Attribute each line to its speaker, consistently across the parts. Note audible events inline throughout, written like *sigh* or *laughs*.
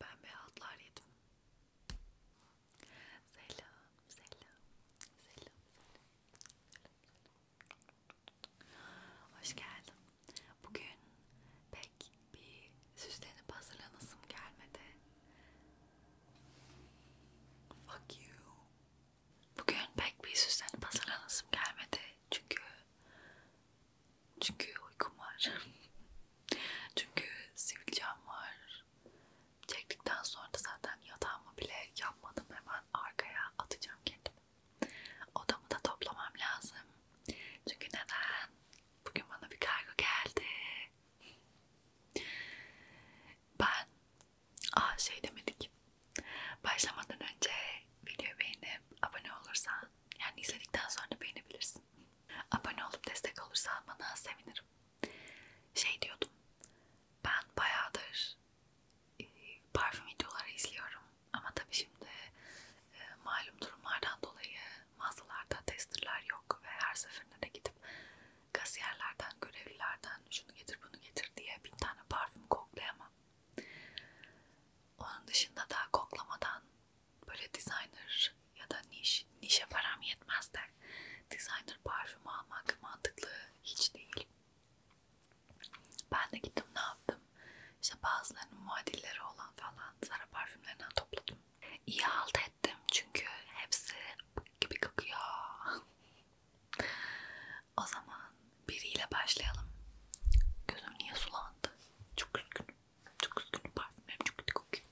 Speaker 1: Ben beyazlar yedim. Selam, selam, selam, selam, selam. Hoş geldin. Bugün pek bir süslenip hazırlanasım gelmedi. Fuck you. Bugün pek bir süslenip hazırlanasım gelmedi çünkü çünkü uykum var. *laughs* Çünkü sivilcem var. Çektikten sonra da zaten yatağımı bile yapmadım. Hemen arkaya atacağım kendimi. Odamı da toplamam lazım. Çünkü neden? Bugün bana bir kargo geldi. Ben Aa şey demedik. Başlamadan önce video beğenip abone olursan yani izledikten sonra beğenebilirsin. Abone olup destek olursan bana sevinirim. Şey diyordum. Ben bayağıdır e, parfüm videoları izliyorum. Ama tabii şimdi e, malum durumlardan dolayı mağazalarda testerler yok ve her seferinde de gidip kasiyerlerden, görevlilerden şunu getir bunu getir diye bin tane parfüm koklayamam. Onun dışında daha koklamadan böyle designer ya da niş, nişe param yetmez de designer parfüm almak mantıklı hiç değil. Ben de gittim ne yaptım? İşte bazılarının muadilleri olan falan Zara parfümlerinden topladım. İyi halt ettim çünkü hepsi gibi kokuyor. *laughs* o zaman biriyle başlayalım. Gözüm niye sulandı? Çok üzgünüm. Çok üzgünüm. Parfümlerim çok kötü kokuyor.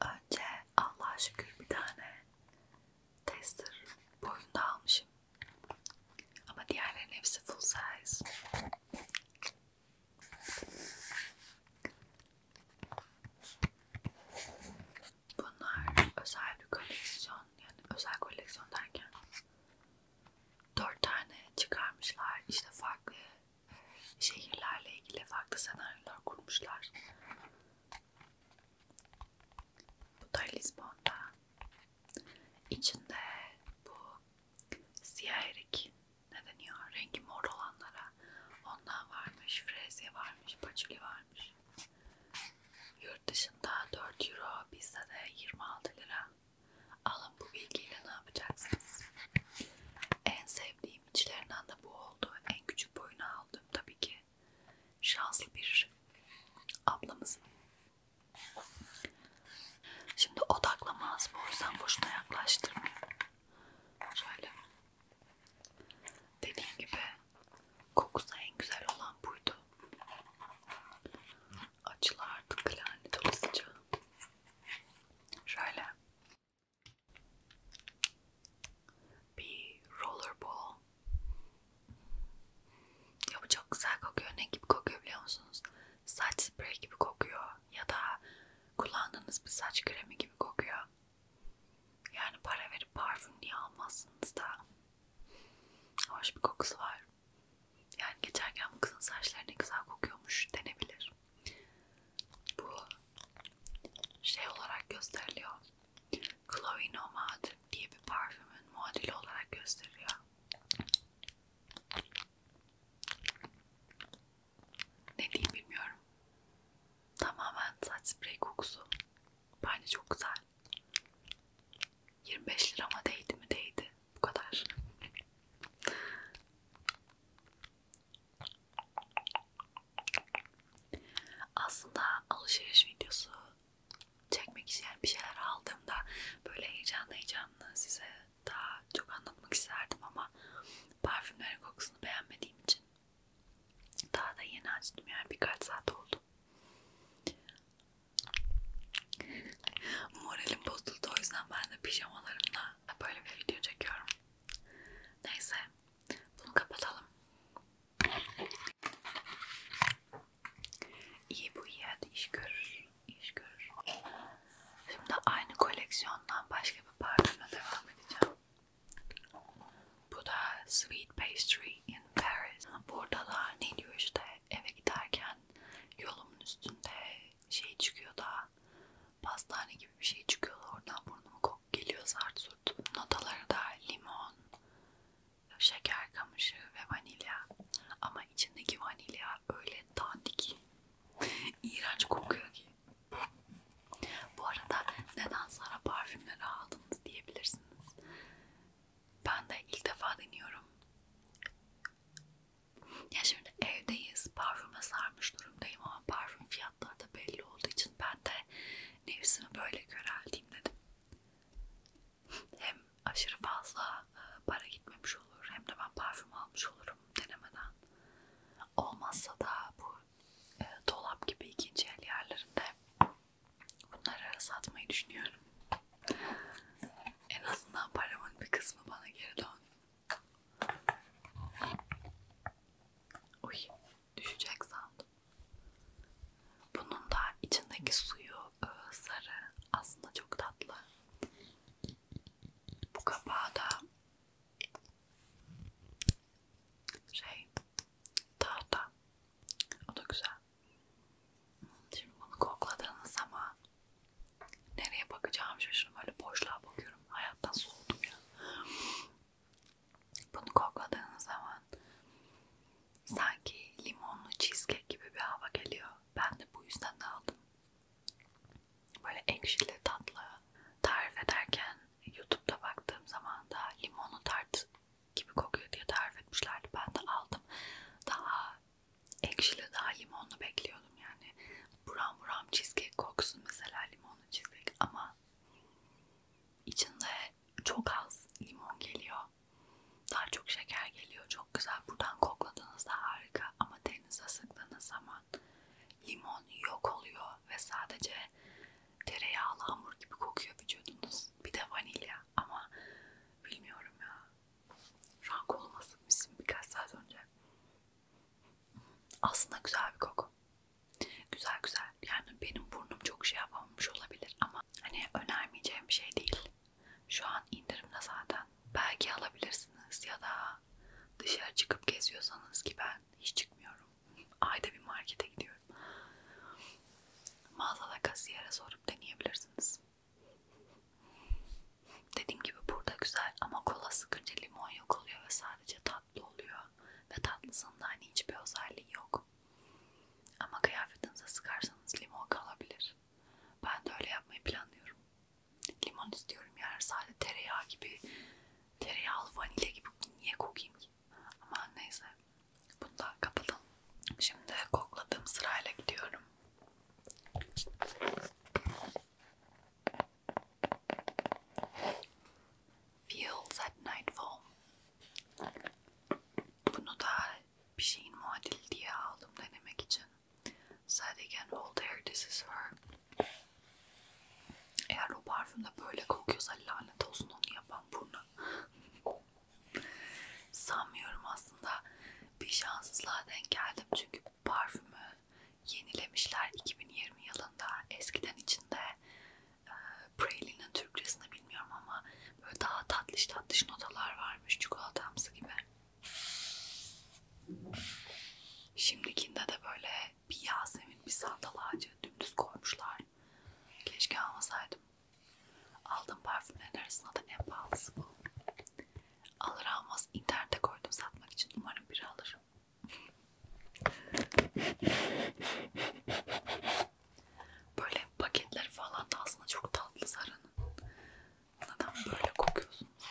Speaker 1: Önce Allah'a şükür bir tane tester boyunda almışım. Ama diğerlerin hepsi full size. Bunlar özel bir koleksiyon. Yani özel koleksiyon derken dört tane çıkarmışlar. İşte farklı şehirlerle ilgili farklı senaryolar kurmuşlar. Bu da Lisbon'da. İçinde bu siyah erik ne deniyor? Rengi mor olanlara. Ondan varmış, frezye varmış, paçuli varmış. Yurt dışında 4 euro, bizde de 26 lira. Alın bu bilgiyle ne yapacaksınız? En sevdiğim içlerinden de bu oldu. En küçük boyunu aldım tabii ki. Şanslı bir ablamız. Şimdi odaklamaz bu yüzden boşuna yaklaştırmayın. Şöyle. Dediğim gibi Kokusu en güzel olan buydu. Açılar artık lanet olasıca. Şöyle. Bir rollerball. Ya bu çok güzel kokuyor. Ne gibi kokuyor biliyor musunuz? Saç sprey gibi kokuyor. Ya da kullandığınız bir saç kremi gibi kokuyor. Yani para verip parfüm niye almazsınız da. Hoş bir kokusu var. Yani geçerken bu kızın saçları ne güzel kokuyormuş denebilir. Bu şey olarak gösteriliyor. Chloe Nomad diye bir parfümün muadili olarak gösteriliyor. Ne diyeyim bilmiyorum. Tamamen saç sprey kokusu. Bence çok güzel. 25 lira ama değdi mi değdi. Bu kadar. Aslında alışveriş videosu çekmek için yani bir şeyler aldığımda böyle heyecanlı heyecanlı size daha çok anlatmak isterdim ama parfümlerin kokusunu beğenmediğim için daha da yeni açtım yani birkaç saat oldu. Moralim bozuldu o yüzden ben de pijamalarımla böyle bir video çekiyorum. Neyse bunu kapatalım. İyi bu iyi hadi iş görür. İş görür. Şimdi aynı koleksiyondan başka bir parfümle devam edeceğim. Bu da Sweet Pastry in Paris. Buradalar ne diyor işte eve giderken yolumun üstünde şey çıkıyor da pastane gibi bir şey çıkıyor oradan burnuma kok geliyor zart zurt. Notaları da limon, şeker kamışı ve vanilya. Ama içindeki vanilya öyle dandik, iğrenç kokuyor ki. Bu arada neden Sara parfümleri aldınız diyebilirsiniz. Ben de ilk defa deniyorum. Ya şimdi evdeyiz. Parfüme sarmış durumdayım ama parfüm fiyatları da belli olduğu için ben de nefsimi böyle körelteyim dedim. Hem aşırı fazla e, para gitmemiş olur hem de ben parfüm almış olurum denemeden. Olmazsa da bu e, dolap gibi ikinci el yerlerinde Bunları satmayı düşünüyorum. En azından paramın bir kısmı bana geri dön. Uy, düşecek sandım. Bunun da içindeki suyu e, sarı. Aslında çok tatlı. Bu kapağı da şey tahta. O da güzel. Şimdi bunu kokladığınız zaman nereye bakacağım şaşırdım. Böyle boşluğa bakıyorum. Hayattan soğudum ya. Bunu kokladığınız zaman sanki limonlu cheesecake gibi bir hava geliyor. Ben de bu yüzden de aldım. Böyle ekşili tatlı tarif ederken YouTube'da baktığım zaman da limonlu tart gibi kokuyor diye tarif etmişlerdi. Ben de aldım. Daha ekşili, daha limonlu bekliyordum yani. Buram buram cheesecake koksun mesela limonlu cheesecake ama içinde çok az limon geliyor. Daha çok şeker geliyor. Çok güzel. Buradan kokladığınızda harika ama denize sıktığınız zaman limon yok oluyor ve sadece tereyağlı hamur gibi kokuyor vücudunuz. Bir de vanilya ama bilmiyorum ya. Şu an koluma sıkmışım birkaç saat önce. Aslında güzel bir koku. Güzel güzel. Yani benim burnum çok şey yapamamış olabilir ama hani önermeyeceğim bir şey değil. Şu an indirimde zaten. Belki alabilirsiniz ya da dışarı çıkıp geziyorsanız ki ben hiç çıkmıyorum. Ayda bir markete gidiyorum. Mağazada kasiyere sorup deneyebilirsiniz. Dediğim gibi burada güzel ama kola sıkınca limon yok oluyor ve sadece tatlı oluyor. Ve tatlısında hani hiçbir özelliği yok. Ama kıyafetinize sıkarsanız limon kalabilir. Ben de öyle yapmayı planlıyorum. Limon istiyorum yani sadece tereyağı gibi, tereyağlı vanilya gibi niye kokayım ki? Ama neyse. Bunu da kapatalım. Şimdi kokladığım sırayla gidiyorum. Feels at Nightfall. Bunu da bir şeyin muadili diye aldım denemek için. Said again, old hair, this is her. Eğer o parfüm de böyle kokuyorsa lanet olsun onu yapan burnu. Sanmıyorum aslında bir şanssızlığa denk geldim çünkü parfümü yenilemişler 2020 yılında. Eskiden içinde e, Pralines Türkçesini bilmiyorum ama böyle daha tatlış tatlış notalar varmış çikolatamsı gibi. Şimdikinde de böyle bir yasemin bir sandal ağacı dümdüz koymuşlar. Keşke almasaydım. Aldığım parfümlerin arasında da en pahalısı bu. Alır almaz internete koydum satmak için. Umarım biri alır. Böyle paketleri falan da aslında çok tatlı Zara'nın. Neden böyle kokuyorsunuz?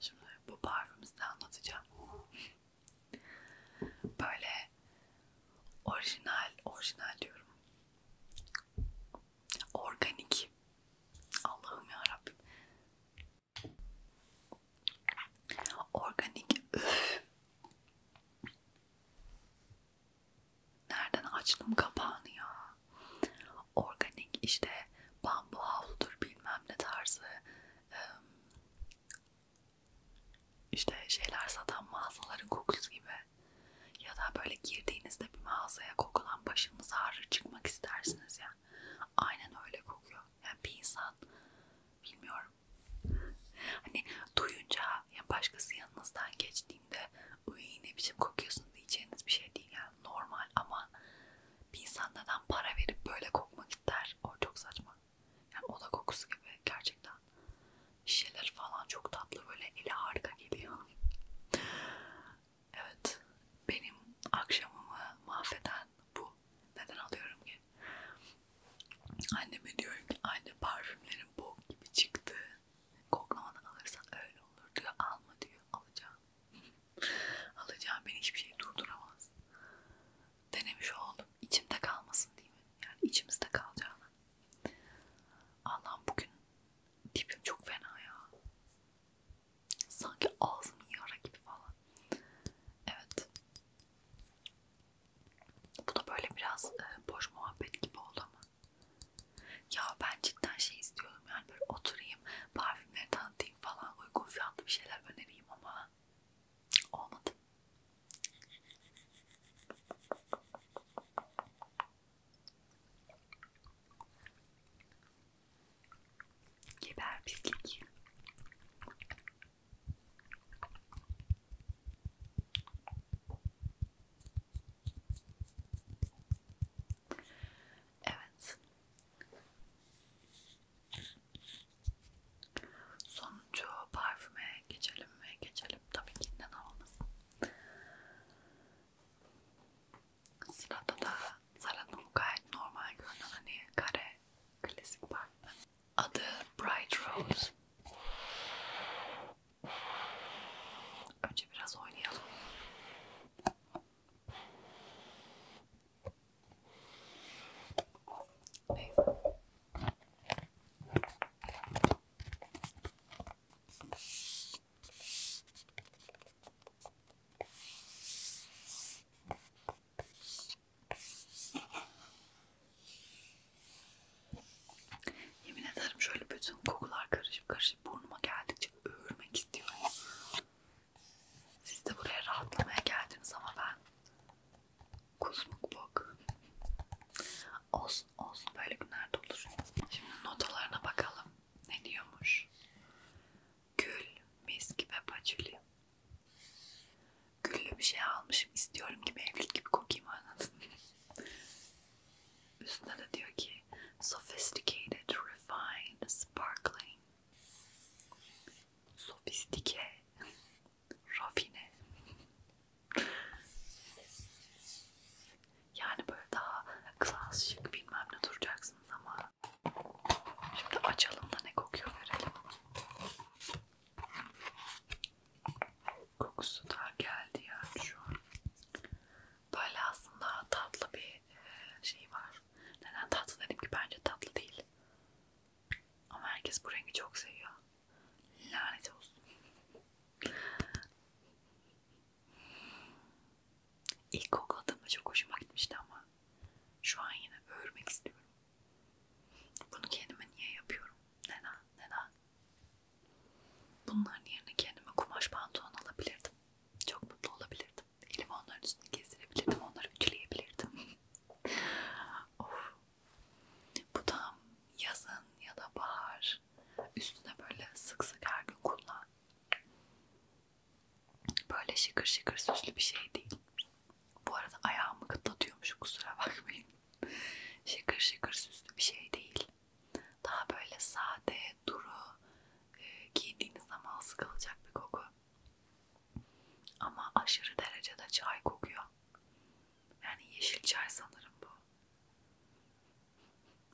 Speaker 1: Şimdi bu parfümümüzü anlatacağım. Böyle orijinal, orijinal diyorum. Organik. Allah'ım ya Rabbim. Organik. Üf. Nereden açtım kapağını ya? Organik işte bambu havludur bilmem ne tarzı işte şeyler satan mağazaların kokusu gibi ya da böyle girdiğinizde bir mağazaya kokulan başınız ağrır çıkmak istersiniz ya. Aynen öyle kokuyor. Yani bir insan bilmiyorum. Hani duyunca yani başkası yanınızdan geçtiğinde uy ne biçim kokuyorsun diyeceğiniz bir şey değil yani normal ama bir insan neden para verip böyle kokmak ister? O çok saçma. Yani oda kokusu gibi gerçekten. Şişeler falan çok tatlı böyle eli harika geliyor. Evet. Benim akşamımı mahveden bu. Neden alıyorum ki? Anneme diyorum ki anne parfümlerin bok gibi çıktı. Koklamadan alırsan öyle olur diyor. Alma diyor. Alacağım. *laughs* Alacağım. Beni hiçbir şey durduramaz denemiş oldum. İçimde kalmasın değil mi? Yani içimizde kalacağına. Allah'ım bugün tipim çok fena ya. Sanki ağzımın yara gibi falan. Evet. Bu da böyle biraz e, boş muhabbet gibi oldu ama. Ya ben cidden şey istiyorum yani böyle oturayım, parfümleri tanıtayım falan, uygun fiyatlı bir şeyler önereyim ama Olmadı. Geber pislik. Evet. Sonucu parfüme geçelim mi? Geçelim tabii ki neden olmasın. Sırada da Zara'nın gayet normal görünen hani kare klasik parfüm. Adı Bright Rose. Önce biraz oynayalım. Neyse. Yemin ederim şöyle bütün kokular karışıp karışıp burnuma geldikçe öğürmek istiyorum. Siz de buraya rahatlamaya geldiniz ama ben kuzmuk bok. Olsun olsun böyle günlerde olur. Şimdi notalarına bakalım. Ne diyormuş? Gül, mis gibi patchouli. Güllü bir şey almışım. istiyorum ki evlilik gibi kokayım anladın Üstüne de diyor ki Sophisticated, refined, sparkling sofistike, rafine. Yani böyle daha klas şık bilmem ne duracaksınız ama şimdi açalım da ne kokuyor verelim. Kokusu da geldi yani şu an. Böyle aslında tatlı bir e, şey var. Neden tatlı dedim ki bence tatlı değil. Ama herkes bu rengi çok seviyor. Lanet olsun. İlk kokladığımda çok hoşuma gitmişti ama şu an yine örmek istiyorum. Bunu kendime niye yapıyorum? Neden? Neden? Bunların yerine kendime kumaş pantolon alabilirdim. Çok mutlu olabilirdim. Elim onların üstünü gezdirebilirdim. Onları ütüleyebilirdim. *laughs* of. Bu da yazın ya da bahar üstüne böyle sık sık her gün kullan. Böyle şıkır şıkır süslü bir şey değil. Bu arada ayağımı kıtlatıyormuş kusura bakmayın. *laughs* şıkır şıkır süslü bir şey değil. Daha böyle sade, duru, e, giydiğiniz zaman sıkılacak bir koku. Ama aşırı derecede çay kokuyor. Yani yeşil çay sanırım bu.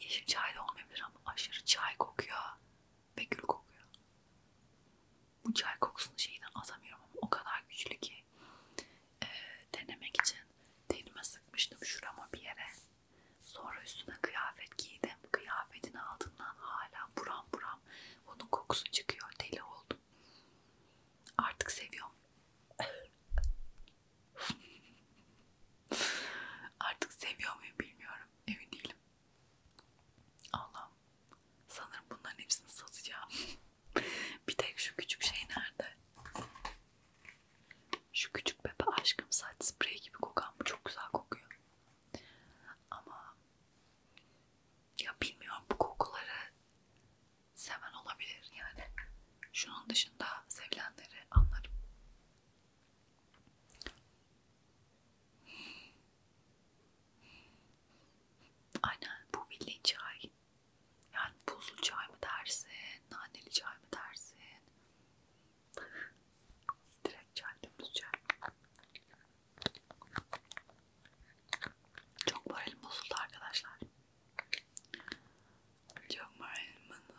Speaker 1: Yeşil çay da olmayabilir ama aşırı çay kokuyor ve gül kokuyor. Bu çay kokusunu şeyden atamıyorum ama o kadar güçlü ki e, denemek için tenime sıkmıştım şurama bir yere. Sonra üstüne kıyafet giydim. Kıyafetin altından hala buram buram onun kokusu çıkıyor. Deli oldum. Artık seviyorum. *laughs* Artık seviyor muyum bilmiyorum. Emin değilim. Allah'ım. Sanırım bunların hepsini satacağım. *laughs* Bir tek şu küçük şey nerede? Şu küçük bebe aşkım saç spreyi gibi kokan bu çok güzel kokuyor. Ama ya bilmiyorum bu kokuları seven olabilir yani. Şunun dışında sevilenleri anlarım. Aynen bu bildiğin çay. Yani buzlu çay mı dersin, naneli çay mı dersin? Direkt çaldığımız çay. Çok moralim bozuldu arkadaşlar. Çok moralim bozuldu.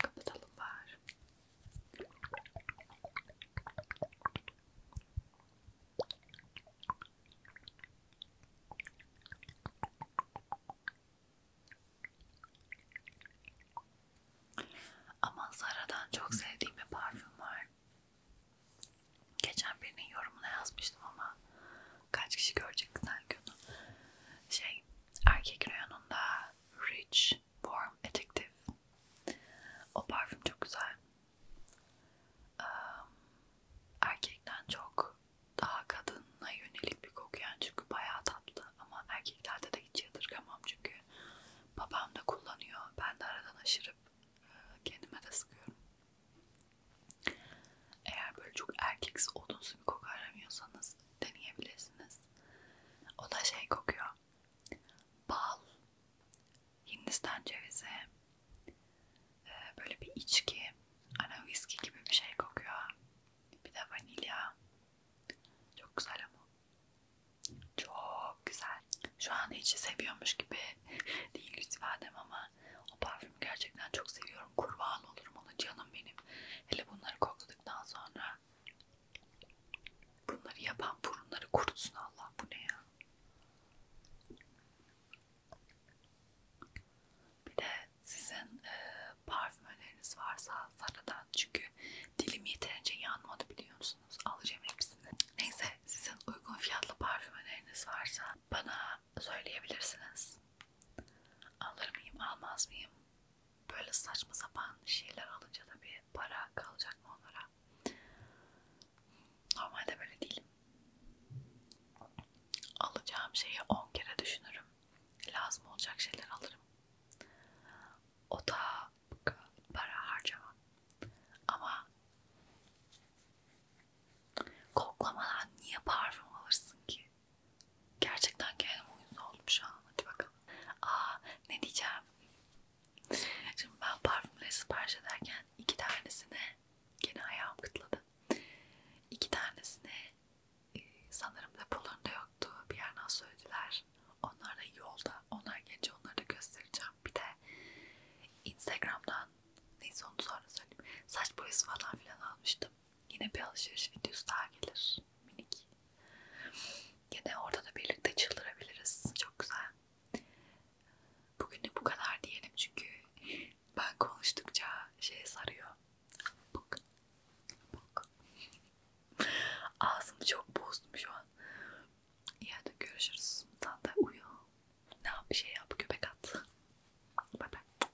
Speaker 1: Kapatalım bari. Ama Zara'dan çok sevdiğim bir parfüm var. Geçen birinin yorumuna yazmıştım ama kaç kişi görecek sanki onu şey erkek reyonunda Rich Warm Addictive o parfüm çok güzel um, erkekten çok daha kadına yönelik bir koku yani çünkü bayağı tatlı ama erkeklerde de hiç yadırgamam çünkü babam da kullanıyor ben de aradan aşırıp e, kendime de sıkıyorum eğer böyle çok erkeksi odunsu bir koku aramıyorsanız deneyebilirsiniz. O da şey kokuyor. Bal, Hindistan cevizi, e, böyle bir içki, ana viski gibi bir şey kokuyor. Bir de vanilya. Çok güzel ama. Çok güzel. Şu an içi seviyormuş gibi *laughs* değil lütfen ama o parfümü gerçekten çok seviyorum. Kurban olurum ona canım benim. Hele bunları kokla aldıktan sonra bunları yapan burunları kurutsun Allah bu ne ya? Bir de sizin e, parfümleriniz varsa sarıdan çünkü dilim yeterince yanmadı biliyor musunuz? Alacağım hepsini. Neyse sizin uygun fiyatlı parfümleriniz varsa bana söyleyebilirsiniz. Alır mıyım almaz mıyım böyle saçma sapan şeyler alınca da bir para kalacak mı onlara? Normalde böyle değilim. Alacağım şeyi 10 kere düşünürüm. Lazım olacak şeyler alırım. O da para harcamam. Ama koklamadan niye parfüm alırsın ki? Gerçekten kendime uyuz oldum şu an. Hadi bakalım. Aa ne diyeceğim? Şimdi ben parfümleri sipariş ederken iki tanesine gene ayağım kıtladı. İki tanesine sanırım depolarında yoktu. Bir yerden söylediler. Onlar da yolda. Onlar gelince onları da göstereceğim. Bir de Instagram'dan neyse onu sonra söyleyeyim. Saç boyası falan filan almıştım yaptım. Yine bir alışveriş videosu daha gelir. Minik. Yine orada da birlikte çıldırabiliriz. Çok güzel. Bugünlük bu kadar diyelim çünkü ben konuştukça şeye sarıyor. Bak. Bak. Ağzımı çok bozdum şu an. İyi hadi görüşürüz. Sen de uyu. Ne yap bir şey yap. Köpek at. Bye bye.